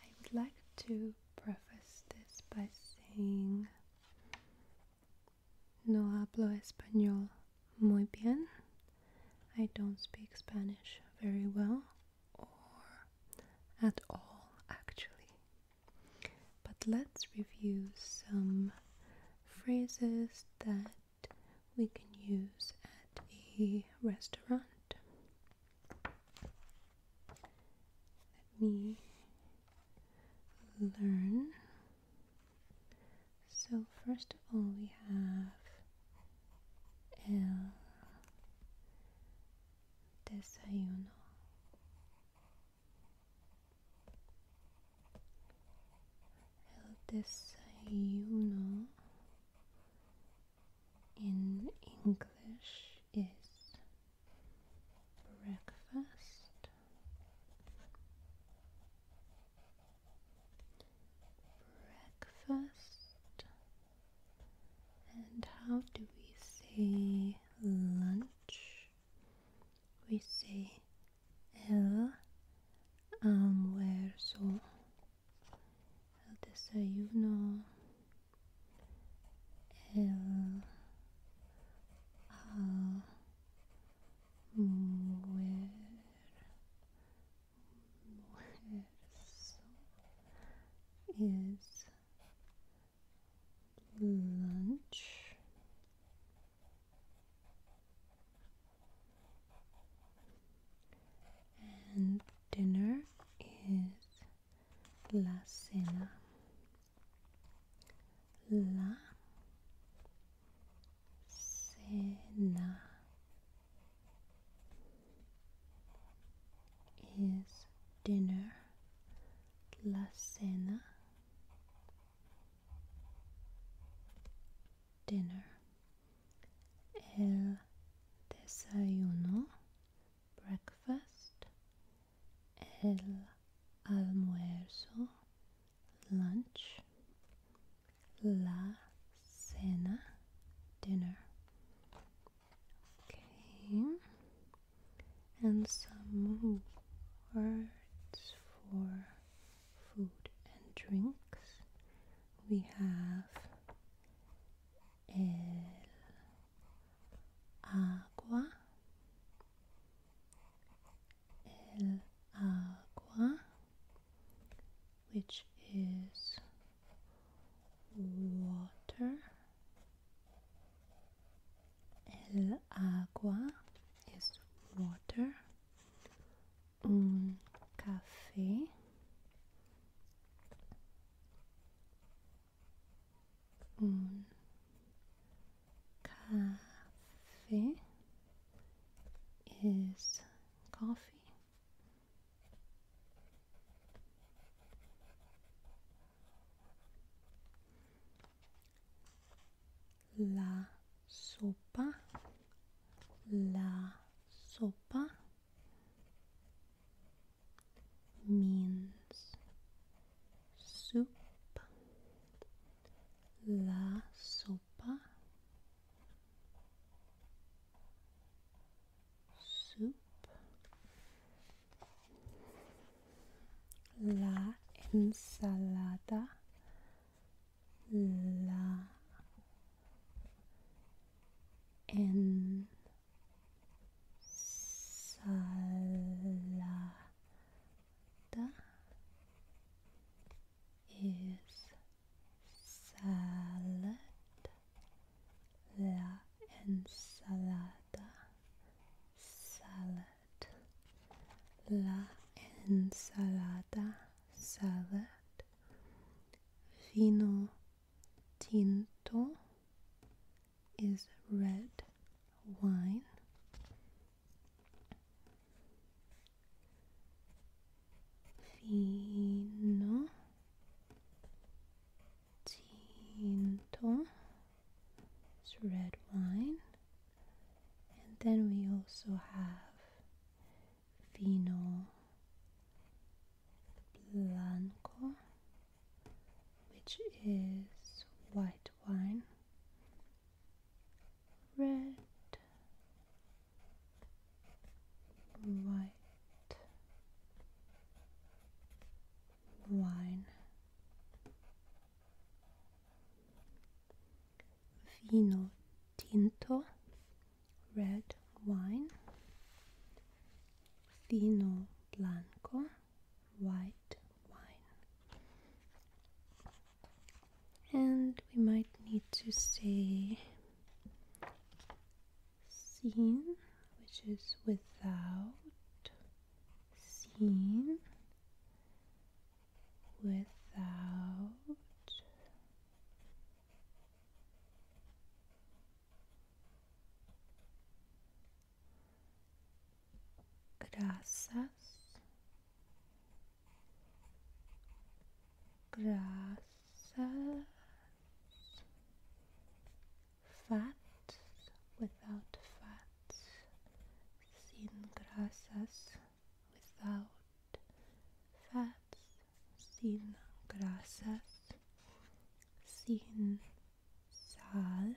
I would like to preface this by saying No hablo español muy bien. I don't speak Spanish very well or at all, actually. But let's review some phrases that we can use at a restaurant. Let me learn. So, first of all, we have el desayuno. El desayuno in English is breakfast. Breakfast. And how do we say lunch? we say um, el almuerzo, el desayuno, el almuerzo is lunch. And dinner is la cena. La cena is dinner la cena. Dinner. El desayuno. Breakfast. El almuerzo. Lunch. La cena. Dinner. and some words for food and drinks. We have el agua, el agua, which is water. El agua is water. Un café un café is coffee la sopa la sopa means soup la sopa soup la ensalada, la ensalada is salad La ensalada, salad. La ensalada, salad. Vino tinto is red wine. Vino Tinto is red wine. And then we also have Vino Blanco, which is white wine. Red, white, wine. Vino tinto, red wine. Vino blanco, white wine. And we might need to say seen, which is without, seen, without, graças, graças fat without fat, sin grasas without fats, sin grasas, sin sal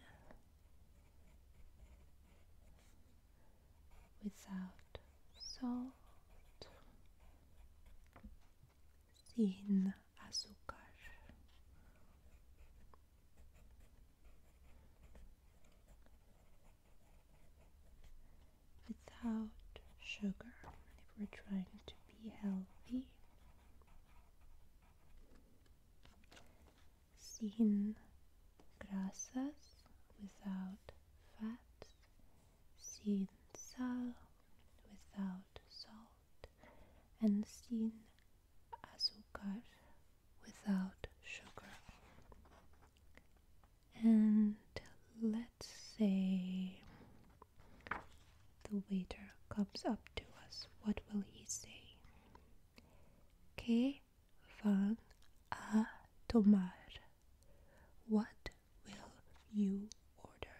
without salt sin azúcar. Without sugar, if we're trying to be healthy, sin grasses, without fat. sin salt, without salt and sin azúcar without sugar. And let's say the waiter comes up to us. What will he say? ¿Qué van a tomar? What will you order?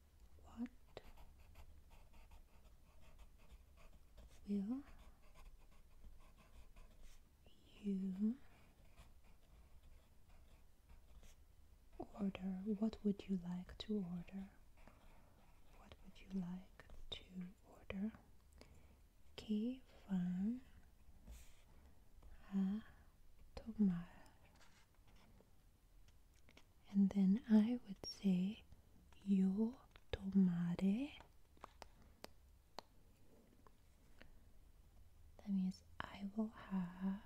what will you order? What would you like to order? What would you like to order? Que vão and then I would say yo tomare. That means I will have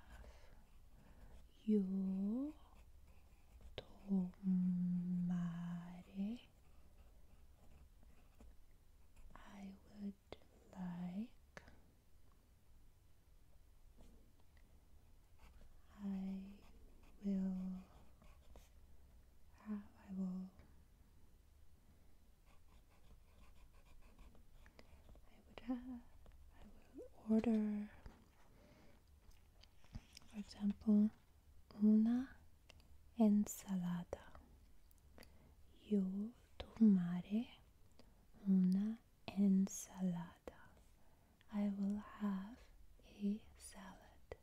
yo tomare. I would like I will have, I will I would have I will order for example una ensalada Yo tomaré una ensalada I will have a salad.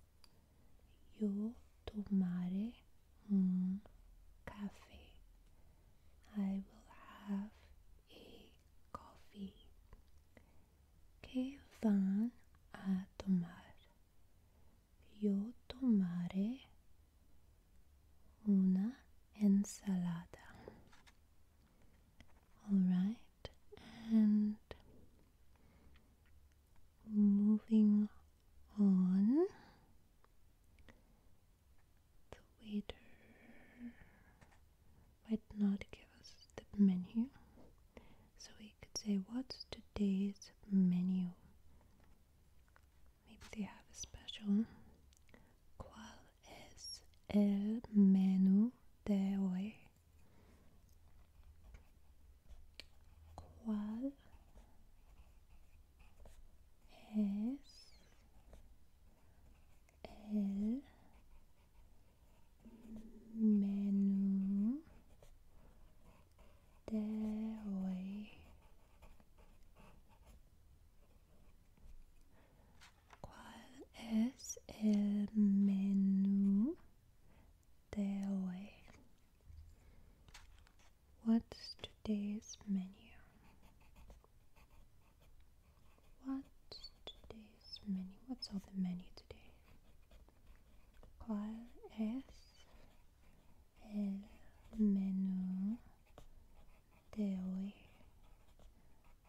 Io tomare un caffè. I will have a coffee. Che van a tomar? Io tomare una ensalada. All right, and moving on, the waiter might not give us the menu, so we could say, What's today's menu? Maybe they have a special. Qual es el menú de hoy? ¿Cuál es el menú de hoy? What's today's menu? What's today's menu? What's on the menu today? What's es menú de hoy?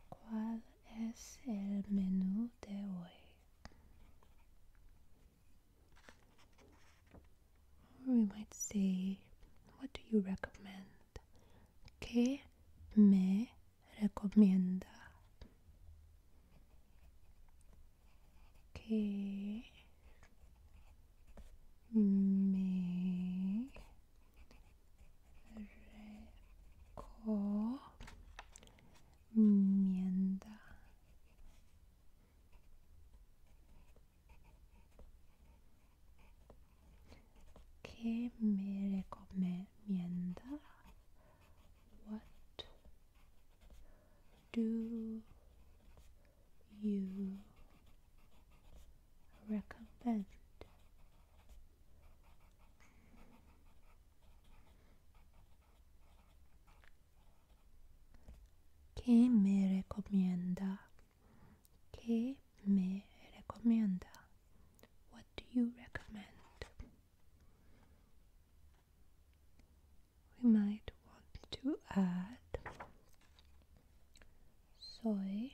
¿Cuál es el menú de hoy? we might say, what do you recommend? ¿Qué me recomienda? ¿Qué me recomienda what do you recommend ¿Qué me recomienda? ¿Qué What do you recommend? We might want to add soy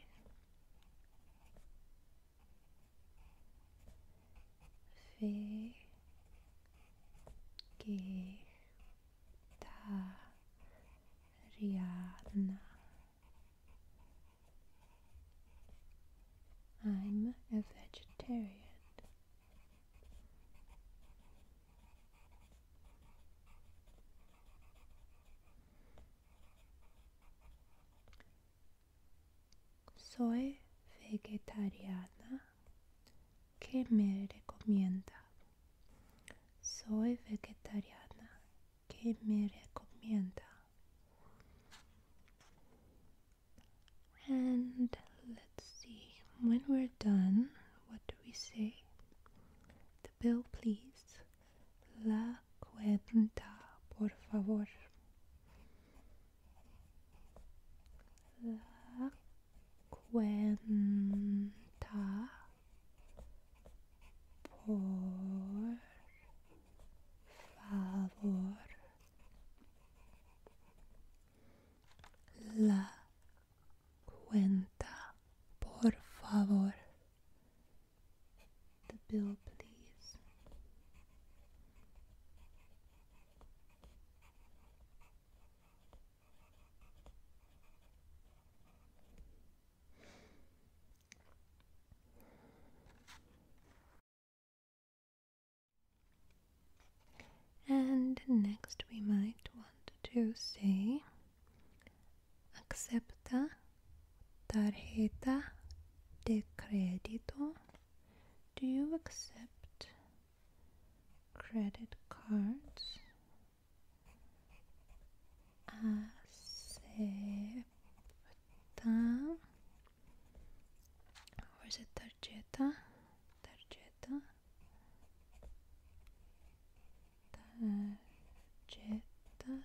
vegetariana. I'm a vegetarian. Soy vegetariana. ¿Qué me recomienda? Soy vegetariana. ¿Qué me recomienda? And let's see. When we're done, what do we say? The bill, please. la cuenta, por favor. La cuenta, por favor. La cuenta, por favor. the bill, please. And next, we might want to say acepta tarjeta de crédito? Do you accept credit cards? Acepta. Or is it tarjeta? Tarjeta. Tarjeta.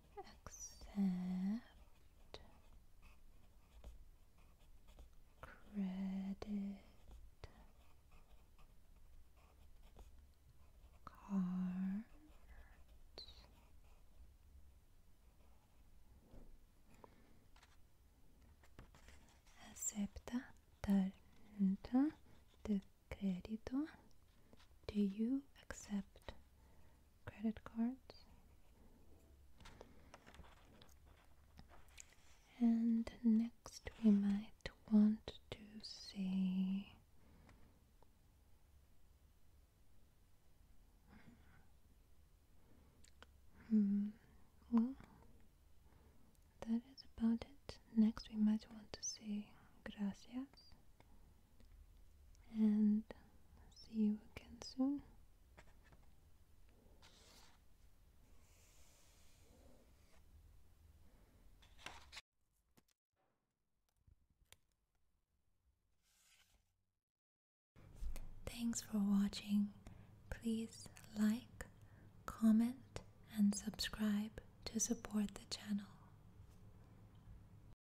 accept credit cards acepta tarjeta de crédito do you accept credit cards. And next we might want to see Hmm. Well, that is about it. Next, we might want to say gracias and see you again soon. Thanks for watching. Please like, comment, and subscribe to support the channel.